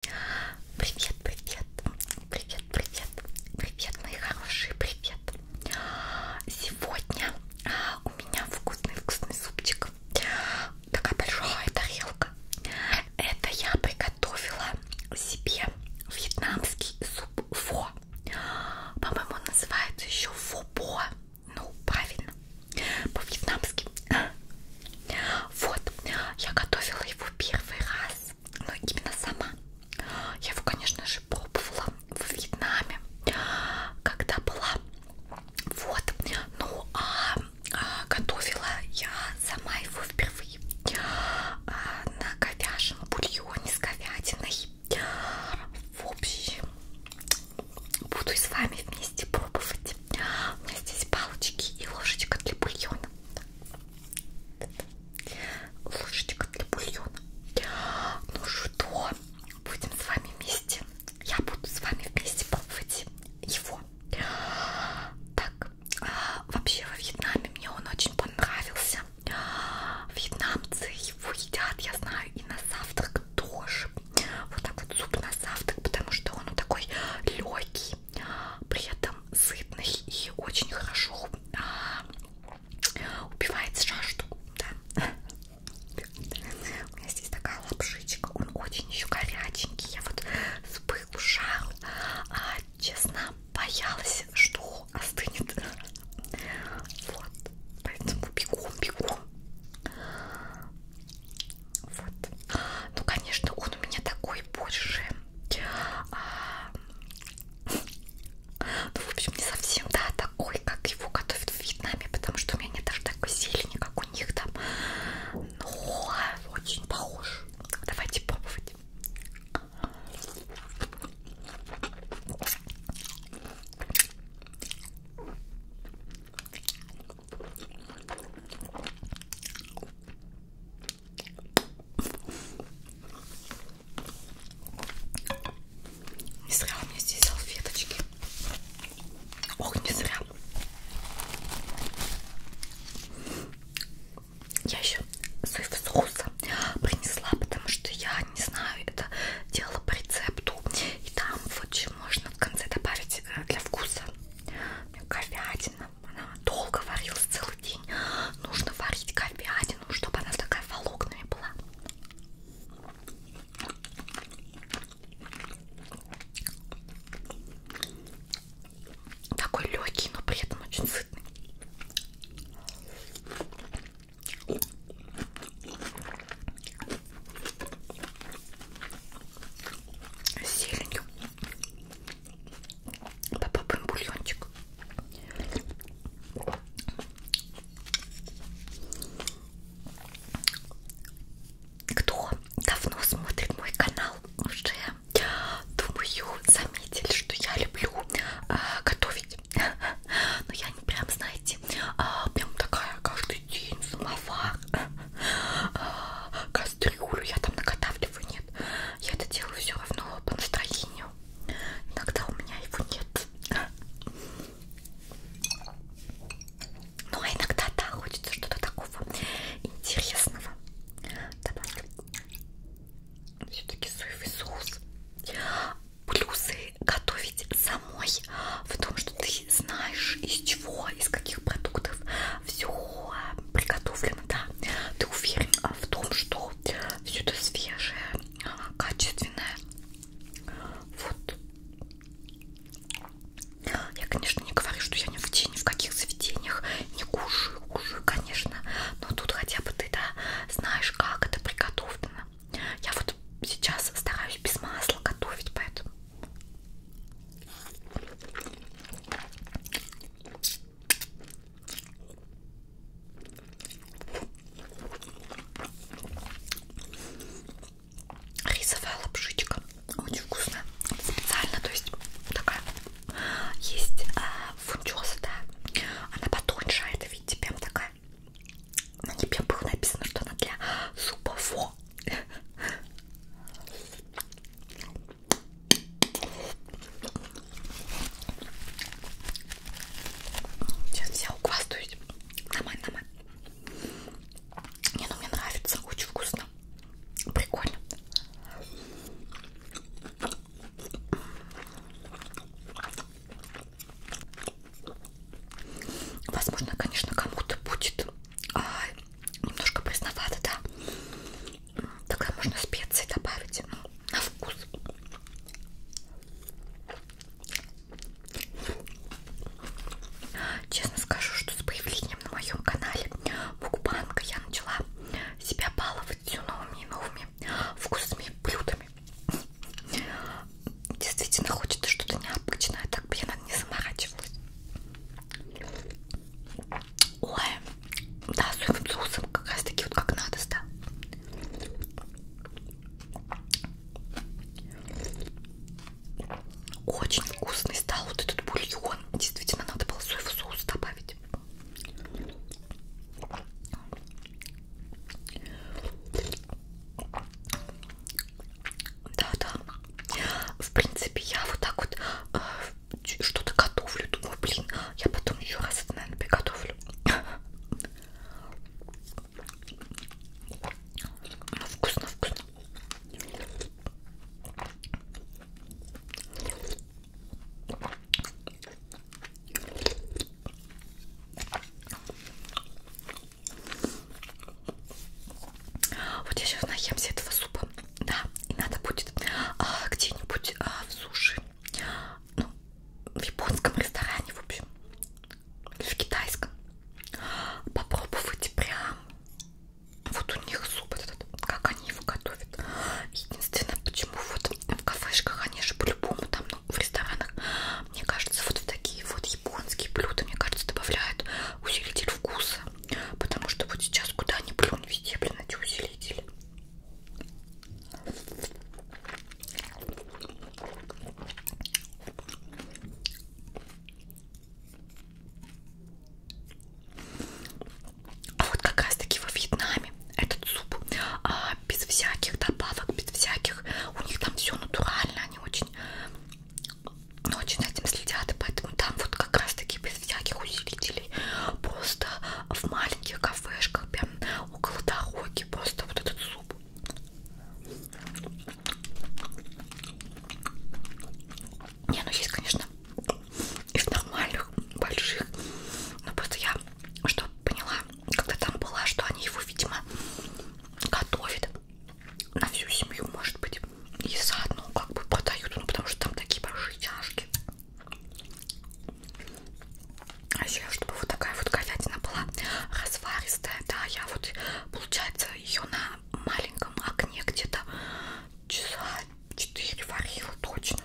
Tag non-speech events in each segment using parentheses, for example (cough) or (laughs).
Привет, привет, привет, привет, привет, мои хорошие, привет. Сегодня а, у меня вкусный-вкусный супчик. Такая большая тарелка. Это я приготовила себе вьетнамский суп фо. По-моему, он называется еще фо-бо. Ну, правильно. По-вьетнамски вот, я готовила его первый раз, но ну, именно сама. Я его, конечно же, пробовала в Вьетнаме, когда была. Вот, ну а, а готовила я сама его впервые а, на говяжьем бульоне с говядиной. В общем, буду с вами вместе пробовать. У меня здесь палочки и ложечка для бульона. Так, ложечка для бульона. Ну что, будем с вами вместе. Я буду с вами вместе пробовать его. Так, а, вообще во Вьетнаме мне он очень понравился. Вьетнамцы его едят, я знаю, и на завтрак тоже. Вот так вот суп на завтрак, потому что он такой легкий при этом сытный и очень хорошо а, убивает жажду. Да. У меня здесь такая лапшичка, он очень еще горяченький. Я вот с пылу жару, а, честно, боялась, что остынет. Вот, поэтому бегом, бегом. Вот. Ну, конечно, он у меня такой больше. А... Ну, в общем, не совсем, да, такой, как его готовят в Вьетнаме, потому что у меня нет даже такой зелени, как у них там. Но очень похож. Давайте пробовать. Не зря у меня здесь салфеточки. Ох, не зря. Я еще соев соуса принесла, потому что я не знаю, это делала по рецепту. И там вот еще можно в конце добавить э, для вкуса говядина, она долго варилась целый день. Нужно варить говядину, чтобы она такая волокнами была. Такой легкий, но при этом очень сытный. С зеленью попробуем бульончик. Кто давно смотрит мой канал, уже, думаю, заметили, что я люблю э, готовить. Но я не прям, знаете, э, прям такая каждый день самовар, э, а, кастрюлю, я там накатавливаю, нет. Я это делаю все равно по настроению. Иногда у меня его нет. Ну а иногда, да, хочется что-то такого интересного. Добавлю все-таки соевый соус. Плюсы готовить самой в том, что ты знаешь из чего, из каких продуктов все приготовлено, да. Ты уверен а в том, что все это свежее, качественное. Вот. Я, конечно, не говорю, что я ни в день, ни в каких заведениях не кушаю, кушаю, конечно. Но тут хотя бы ты, да, знаешь, как это приготовлено. Я вот сейчас стараюсь без масла готовить, поэтому... Рисовая лапшичка очень вкусная. Специально, то есть такая есть а, фундюс, да. Она потоньше, а это видите, прям такая. На ней прям было написано, что она для супов. Сейчас взял квас дует. Нормально, нормально. Не, ну мне нравится, очень вкусно. Прикольно. Возможно, конечно, кому-то будет а, немножко пресновато, да. Тогда можно специи добавить ну, на вкус. Честно скажу, что с появлением на моем канале Мукбанка я начала себя баловать все новыми и новыми вкусными блюдами. Действительно хочется что-то необычное, так бы я не заморачивалась. Ой, да, соевым соусом как раз таки вот как надо, да. Очень вкусный стал вот этот бульон. Действительно, надо было соевый соус добавить. Да-да. В принципе, я вот так вот э, что-то готовлю. Думаю, блин, я потом еще раз это, наверное, приготовлю. Ну, вкусно, вкусно. Вот я сейчас наемся этого супа. Да, и надо будет а, где-нибудь а, в суши. Ну, в японском ресторане, в общем. Или в китайском. Попробовать прям. Вот у них суп этот, как они его готовят. Единственное, почему вот в кафешках, они же по-любому там, ну, в ресторанах, мне кажется, вот в такие вот японские блюда, мне кажется, добавляют усилитель вкуса. Потому что вот сейчас куда ни плюнь, везде, блин, эти усилители. А вот как раз таки во Вьетнаме этот суп а, без всяких добавок, без всяких, у них там все натурально, они очень но ну, очень за этим следят, и поэтому там вот как раз таки без всяких усилителей, просто в маленьких кафешках, прям около дороги, просто вот этот суп. Не, ну есть, конечно, из нормальных, больших, но просто я, что поняла, когда там была, что они его, видимо, готовят на всю семью, может быть, есть. И заодно ну, как бы продают, ну потому что там такие большие чашки. А еще, чтобы вот такая вот говядина была разваристая, да, я вот, получается, ее на маленьком окне где-то часа 4 варила точно.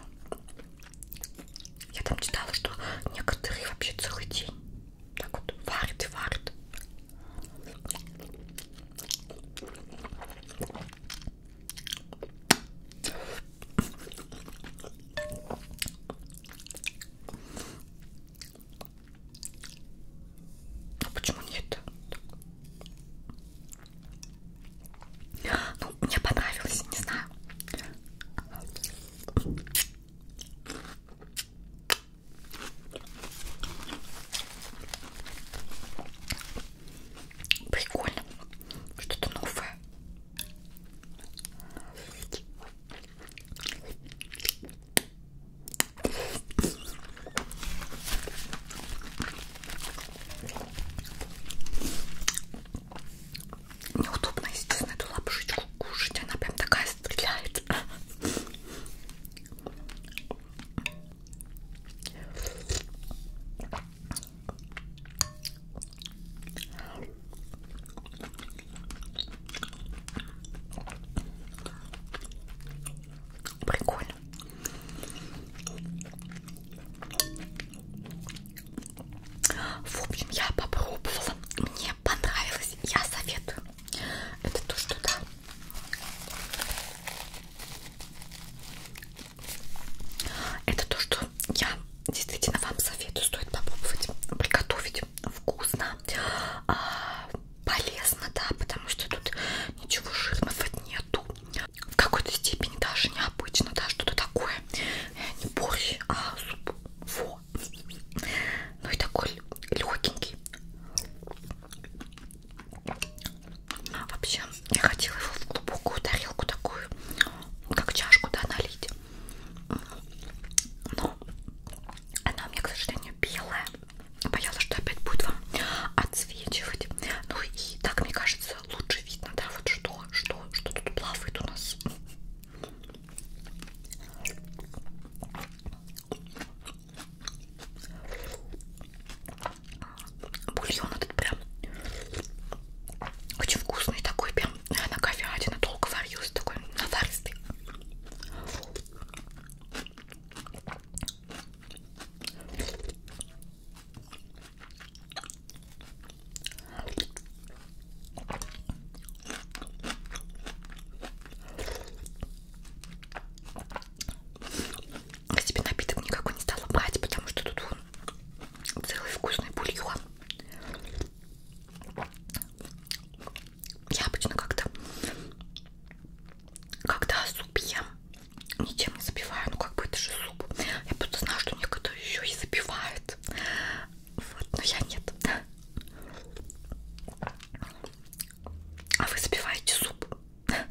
Я там читала, что некоторые вообще целый день так вот варят и варят. Ну почему нет? Ну, мне понравилось, не знаю. Прикольно. Что-то новое. Неудобно, естественно, эту лапушечку кушать. Она прям такая стреляет. Прикольно. В общем, я попробовала, мне понравилось, я советую. Это то, что да. Это то, что я действительно вам советую, стоит попробовать приготовить вкусно, а, полезно, да, потому что тут ничего жирного нету, в какой-то степени даже необычно, да, что-то такое, э, не борщ, а суп, во, ну и такой легенький, Вообще, я хотела его в глубокую тарелку такую, как чашку, да, налить. Но она у меня, к сожалению, белая. Боялась, что опять будет вам отсвечивать. Ну и так, мне кажется, лучше видно, да, вот что, что, что тут плавает у нас. Бульон этот прям очень вкусный такой, прям на говядина долго варился, такой наваристый. Я себе напиток никакой не стала брать, потому что тут вон целый вкусный бульон. Я обычно как-то, когда суп ем, ничем не запиваю, ну как бы это же суп. Я просто знаю, что некоторые еще и запивают. Вот, но я нет. А вы запиваете суп?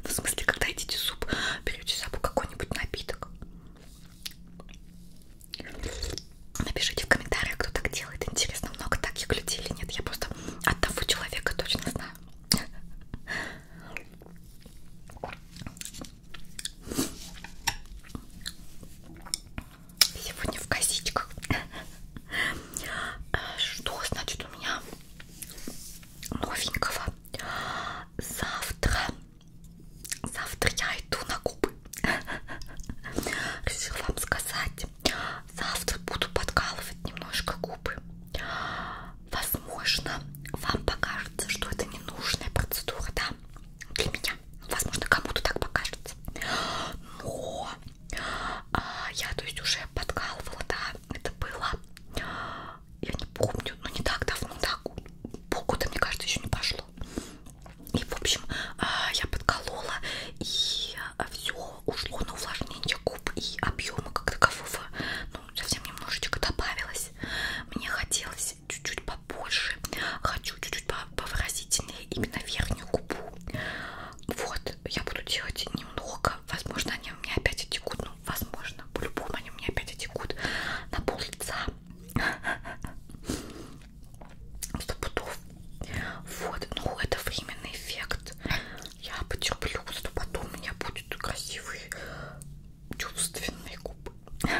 В смысле, когда едите суп, берете с собой какой-нибудь напиток. Напишите в комментариях, кто так делает. Интересно, много таких людей или нет. Я просто одного человека точно знаю. Сегодня в косичках. Э, что значит у меня новенького? завтра, завтра я иду на Кубы. Решила вам сказать, завтра буду подкалывать немножко губы. Возможно, вам покажется, что это ненужная процедура, да, для меня. Возможно, кому-то так покажется. Но а, я, то есть, уже подкалывала, да, это было я не помню, но не так давно, так, полгода, мне кажется, еще не прошло. И, в общем, а, я подколола, и а, все ушло на увлажнение губ и объема как такового, ну, совсем немножечко добавилось. Мне хотелось чуть-чуть побольше, хочу чуть-чуть повыразительнее именно верхнюю губу. Вот, я буду делать немного, возможно, они у меня опять отекут. Ну, возможно, по-любому они у меня опять отекут на пол лица. (laughs) Сто пудов. Вот, ну это временный эффект. Я потерплю, что потом у меня будут красивые чувственные губы. (laughs)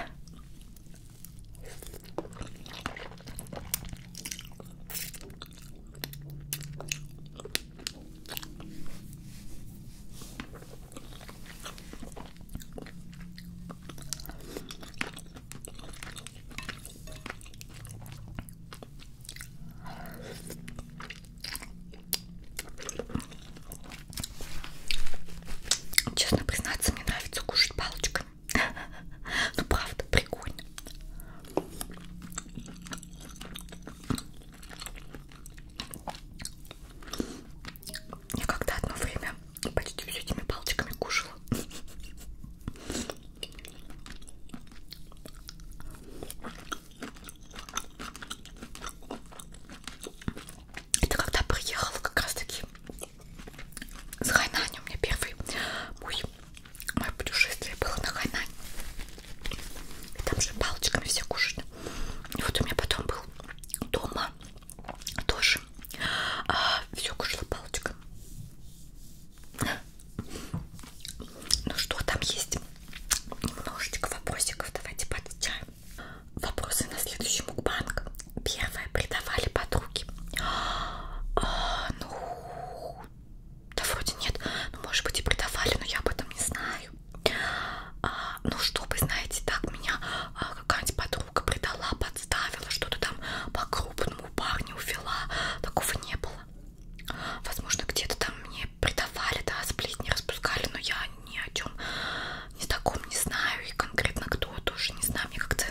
Честно признаться, мне нравится кушать палочками. (laughs) Ну правда, прикольно. Я когда одно время почти все этими палочками кушала. Это когда приехала как раз таки с Хайнань. У меня первый мой, мое путешествие было на Хайнань. И там же палочками все кушают. И вот у меня потом был дома тоже а, все кушала палочка. Ну что там есть? Немножечко вопросиков. Давайте подчаем. Вопросы на следующий мукбанг. Первое. Предавали подруги. А, ну, да вроде нет. Ну, может быть и предавали, но я об этом не знаю а, ну чтобы, знаете, так меня а, какая-нибудь подруга предала, подставила, что-то там по-крупному парню увела, такого не было. Возможно, где-то там мне предавали, да, сплетни распускали, но я ни о чем ни таком не знаю, и конкретно кто тоже не знаю, мне как-то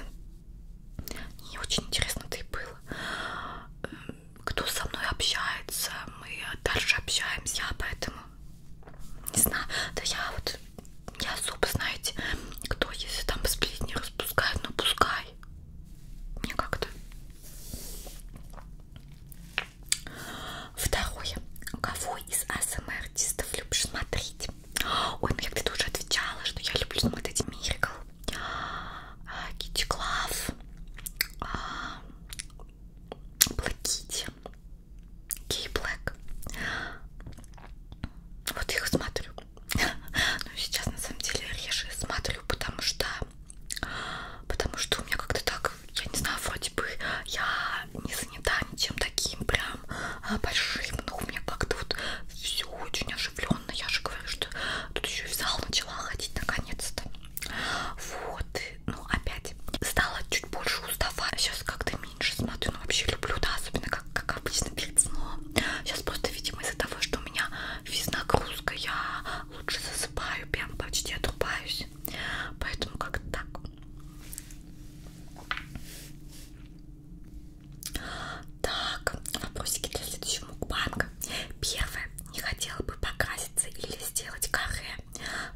не очень интересно-то и было. Эм, кто со мной общается, мы дальше общаемся, а поэтому не знаю, да я вот не особо, знаете, кто если там сплетни распускает, ну пускай мне как-то второе, кого из АСМР-артистов любишь смотреть? ой, ну я где-то уже отвечала, что я люблю смотреть Miracle Kitty Клав Блэкити. Кей Блэк. Вот их смотрю. Ну сейчас на самом деле реже смотрю, потому что потому что у меня как-то так, я не знаю, вроде бы я не занята ничем таким прям а, большим, но у меня как-то вот все очень оживленно. Я же говорю, что тут еще и в зал начала ходить наконец-то. Вот ну опять стала чуть больше уставать. Сейчас как-то меньше смотрю, но ну, вообще люблю, да, особенно как, как обычно перед сном. Сейчас просто, видимо, из-за того, что у меня физнагрузка, я лучше засыпаю, прям почти отрубаюсь. Поэтому как-то так. Так, вопросики для следующего мукбанга. Первое не хотела бы покраситься или сделать каре?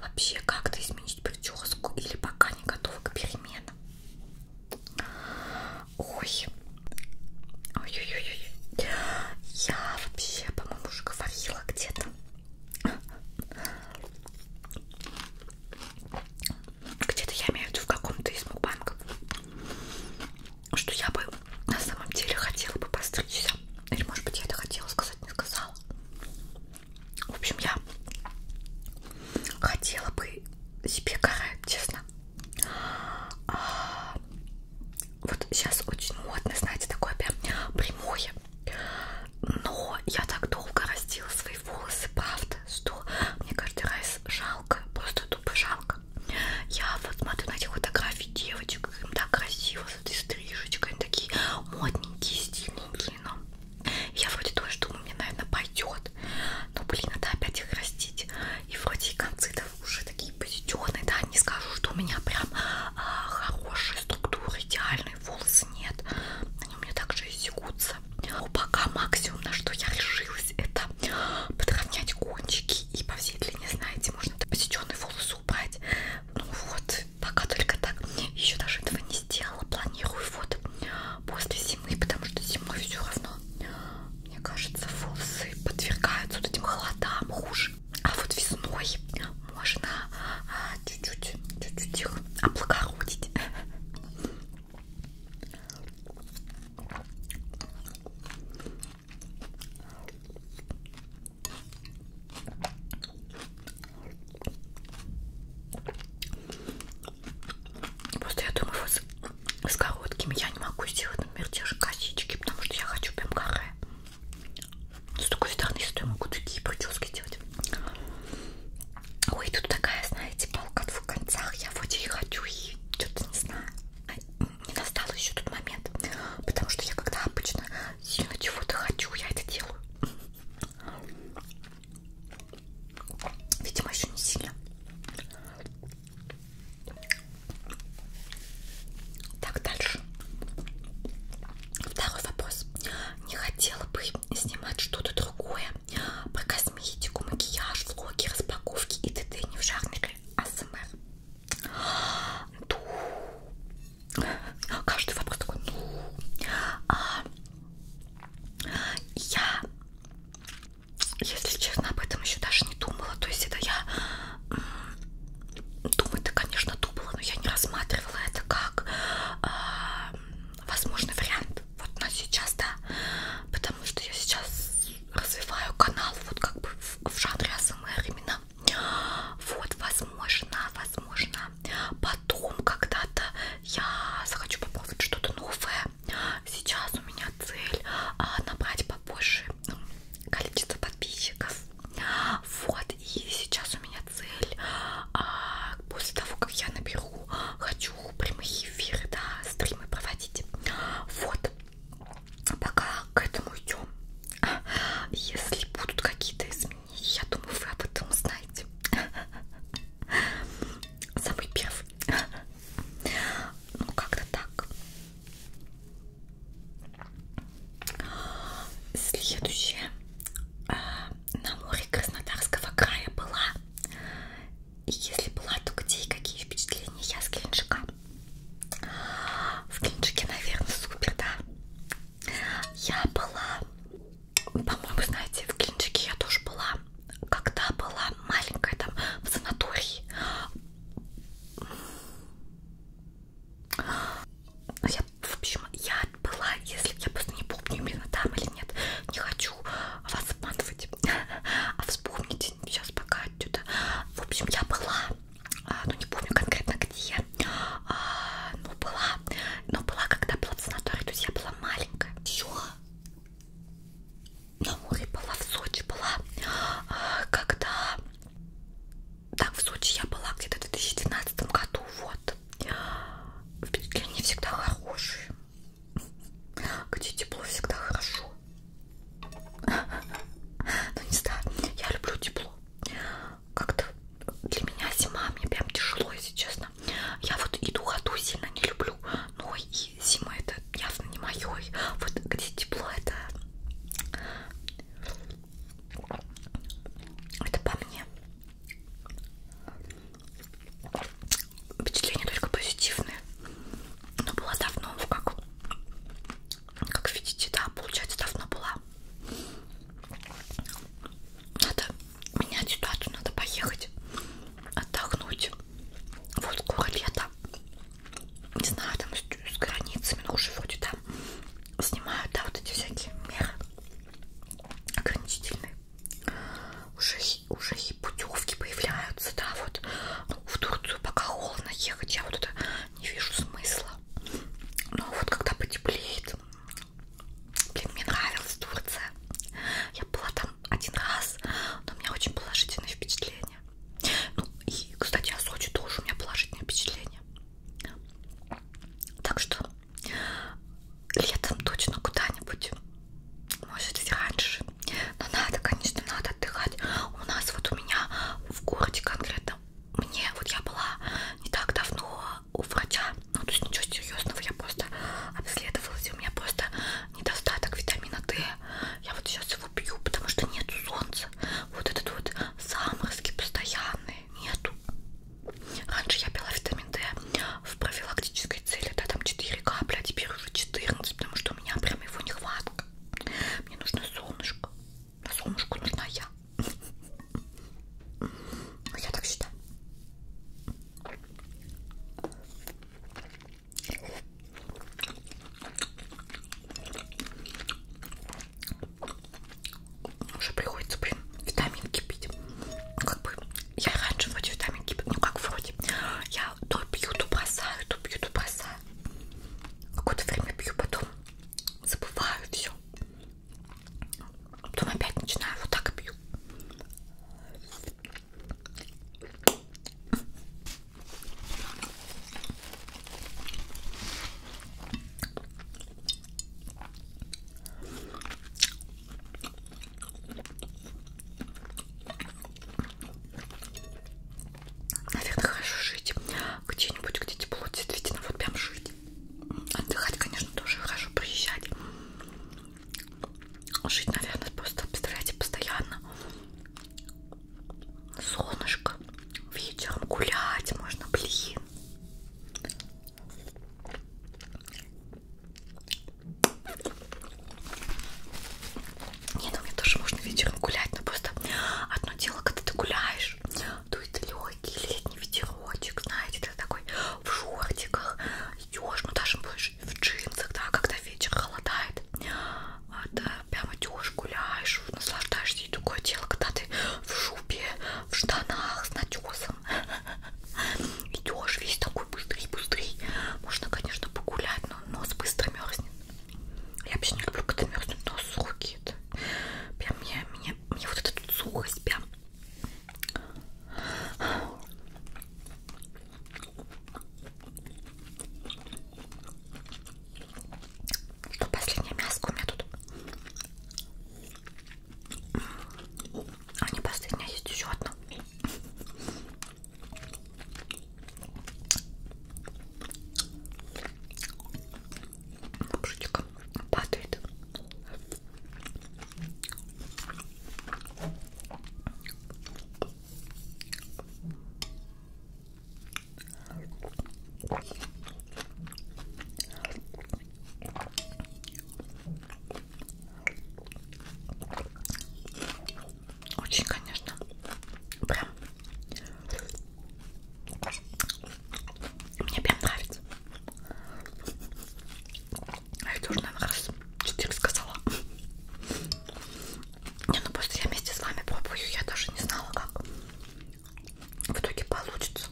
Вообще как-то изменить прическу или пока не готова к переменам? Ой. Ой-ой-ой. Я вообще, по-моему, уже говорила где-то. Где-то я имею в виду в каком-то из мукбанков. Что я бы на самом деле хотела бы постричься. Или, может быть, я это хотела сказать, не сказала. В общем, я хотела бы себе карать, честно. А, вот сейчас очень модно, знаете, такое прям прямое. Но я так долго растила свои волосы, правда, что мне каждый раз жалко, просто тупо жалко. Я вот смотрю на эти фотографии девочек, им так красиво с этой стрижечкой. Они такие модненькие, стильненькие. Но я вроде тоже думаю, мне, наверное, пойдет. Но, блин, надо опять их растить. И вроде и концы да, уже такие позитивные. Да, не скажу, что у меня прям а, хорошая структура, идеальные волосы нет. Они у меня также иссекутся. Но пока максимум, на что я решилась, это подровнять кончики. И по всей длине, знаете, можно посеченные волосы убрать. Ну вот, Пока только так. Еще даже этого не сделала. Планирую вот после зимы, потому что зимой все равно, мне кажется, волосы подвергаются вот этим холодам хуже. А вот весной можно а, чуть-чуть чуть-чуть их облагородить. Просто я думаю, вот с короткими я не могу сделать, например, те же косички, потому что я хочу прям каре. С другой стороны, что я могу такие прически делать. Ой, тут такая, знаете, палка в двух концах. Я вроде и хочу, и что-то не знаю. Не настал еще тот момент, потому что я когда обычно сильно чего-то хочу, я это делаю. Видимо, еще не сильно. Так, дальше. Второй вопрос. Не хотела бы снимать что-то другое про косметику, макияж, влоги, распаковки и т.д. не в жанре АСМР каждый вопрос такой, ну, а, я, если честно, об этом еще даже не думала, то есть это я, думать-то, конечно, думала, но я не рассматривала это как а, возможный вариант вот на сейчас, да, потому что я сейчас развиваю канал вот как бы в, в жанре АСМР именно вот, возможно, возможно, потом когда-то я захочу попробовать что-то новое. Сейчас у меня цель а, набрать побольше ну, количество подписчиков. Вот, и сейчас у меня цель, а, после того, как я наберу, хочу прямые эфиры, да, стримы проводить. Вот пока к этому идем, если будут какие-то изменения, я думаю, вы об этом знаете. Самый первый. Ну, как-то так. Следующее. А, на море Краснодарского края была. И если была, то где и какие впечатления я с Геленджика? В Кинчике, наверное, супер, да? Я была, по-моему, знаете, в Кинчике я тоже была, когда была маленькая, там, в санатории. Ну, я, в общем, я была, если я просто не помню, именно там или нет, не хочу вас обманывать, (laughs) а вспомните сейчас пока отсюда. В общем, я была а, ну не помню конкретно где, а, но ну, была, но была, когда была в санатории, то есть я была маленькая. Еще на море была, в Сочи была, а, когда, так, в Сочи я была где-то в 2012 году, вот. Впечатления всегда хорошие, где тепло всегда хорошо. (laughs) Ну не знаю, я люблю тепло как-то для меня зима, мне прям тяжело, если честно. Я вот и духоту сильно не люблю, но и зима это явно не мое. Вот где тепло это... Это по мне. Впечатления только позитивные. Но была давно, как, как видите, да, получается, давно была надо менять ситуацию, надо поехать отдохнуть. Вот скоро лето. Не знаю, там с, с границами, но ну, уже вроде там снимают, да, вот эти всякие меры ограничительные. Уже, уже и путевки появляются, да, вот. Ну, в Турцию пока холодно ехать. Я вот это не вижу смысла. Но вот когда потеплеет, блин, мне нравилась Турция. Я была там один раз, но у меня очень положительное впечатление. Ну и, кстати, о Сочи тоже у меня положительное впечатление. Так что летом точно куда-нибудь, может и раньше. Но надо, конечно, надо отдыхать. У нас вот у меня в городе конкретно мне, вот я была не так давно у врача, ну то есть ничего серьезного, я просто обследовалась, и у меня просто недостаток витамина D. Я вот сейчас его пью, потому что нету солнца. Вот этот вот заморозки постоянные нету. Раньше я пила витамин D в профилактической цели, да, там 4 капли, а теперь уже 14, потому что у меня прям его нехватка. Мне нужно солнышко. А солнышку нужна я. Ну, я так считаю. Уже приходится, блин, витаминки пить. Как бы я раньше вроде витаминки, ну как вроде. Я то пью, то бросаю, то пью, то бросаю. Какое-то время пью, потом забываю все. Потом опять начинаю вот так пью. Наверное, хорошо жить где-нибудь, где тепло, действительно, вот прям жить. Отдыхать, конечно, тоже хорошо, приезжать. Жить, наверное, просто, представляете, постоянно. Солнышко, вечером гулять можно, блин. Не, ну мне тоже можно вечером гулять, но просто одно дело, когда ты гуляешь, дует ну, легкий летний ветерочек, знаете, ты такой в шортиках идешь, ну даже будешь в джинсах, да, когда вечер холодает, да, прям идешь, гуляешь, наслаждаешься, и такое дело, когда ты в шубе, в штанах с натесом идешь весь такой быстрый-быстрый, можно, конечно, погулять, но нос быстро мерзнет. Я вообще не люблю, когда мерзнут, но сухие это. Прям мне, мне, мне вот эта тут сухость прям. Что последнее мяско у меня тут? А не последнее, есть еще одно бушечка падает. Очень, конечно, прям мне прям нравится. А это уже, наверное, раз четыре сказала. Не, ну просто я вместе с вами пробую, я даже не знала, как в итоге получится.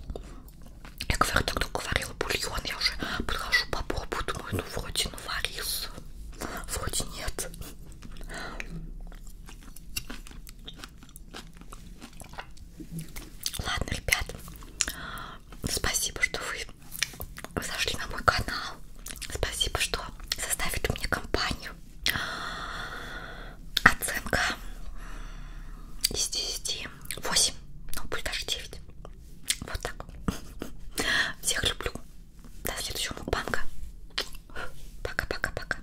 Я говорю, тогда говорила бульон, я уже подхожу попробую, думаю, ну вроде наварился, ну, вроде нет. Ладно, ребят, спасибо, что вы зашли на мой канал. Спасибо, что составите мне компанию. Оценка из 10. 8. Ну, пусть даже 9. Вот так. Всех люблю. До следующего банка. Пока-пока-пока.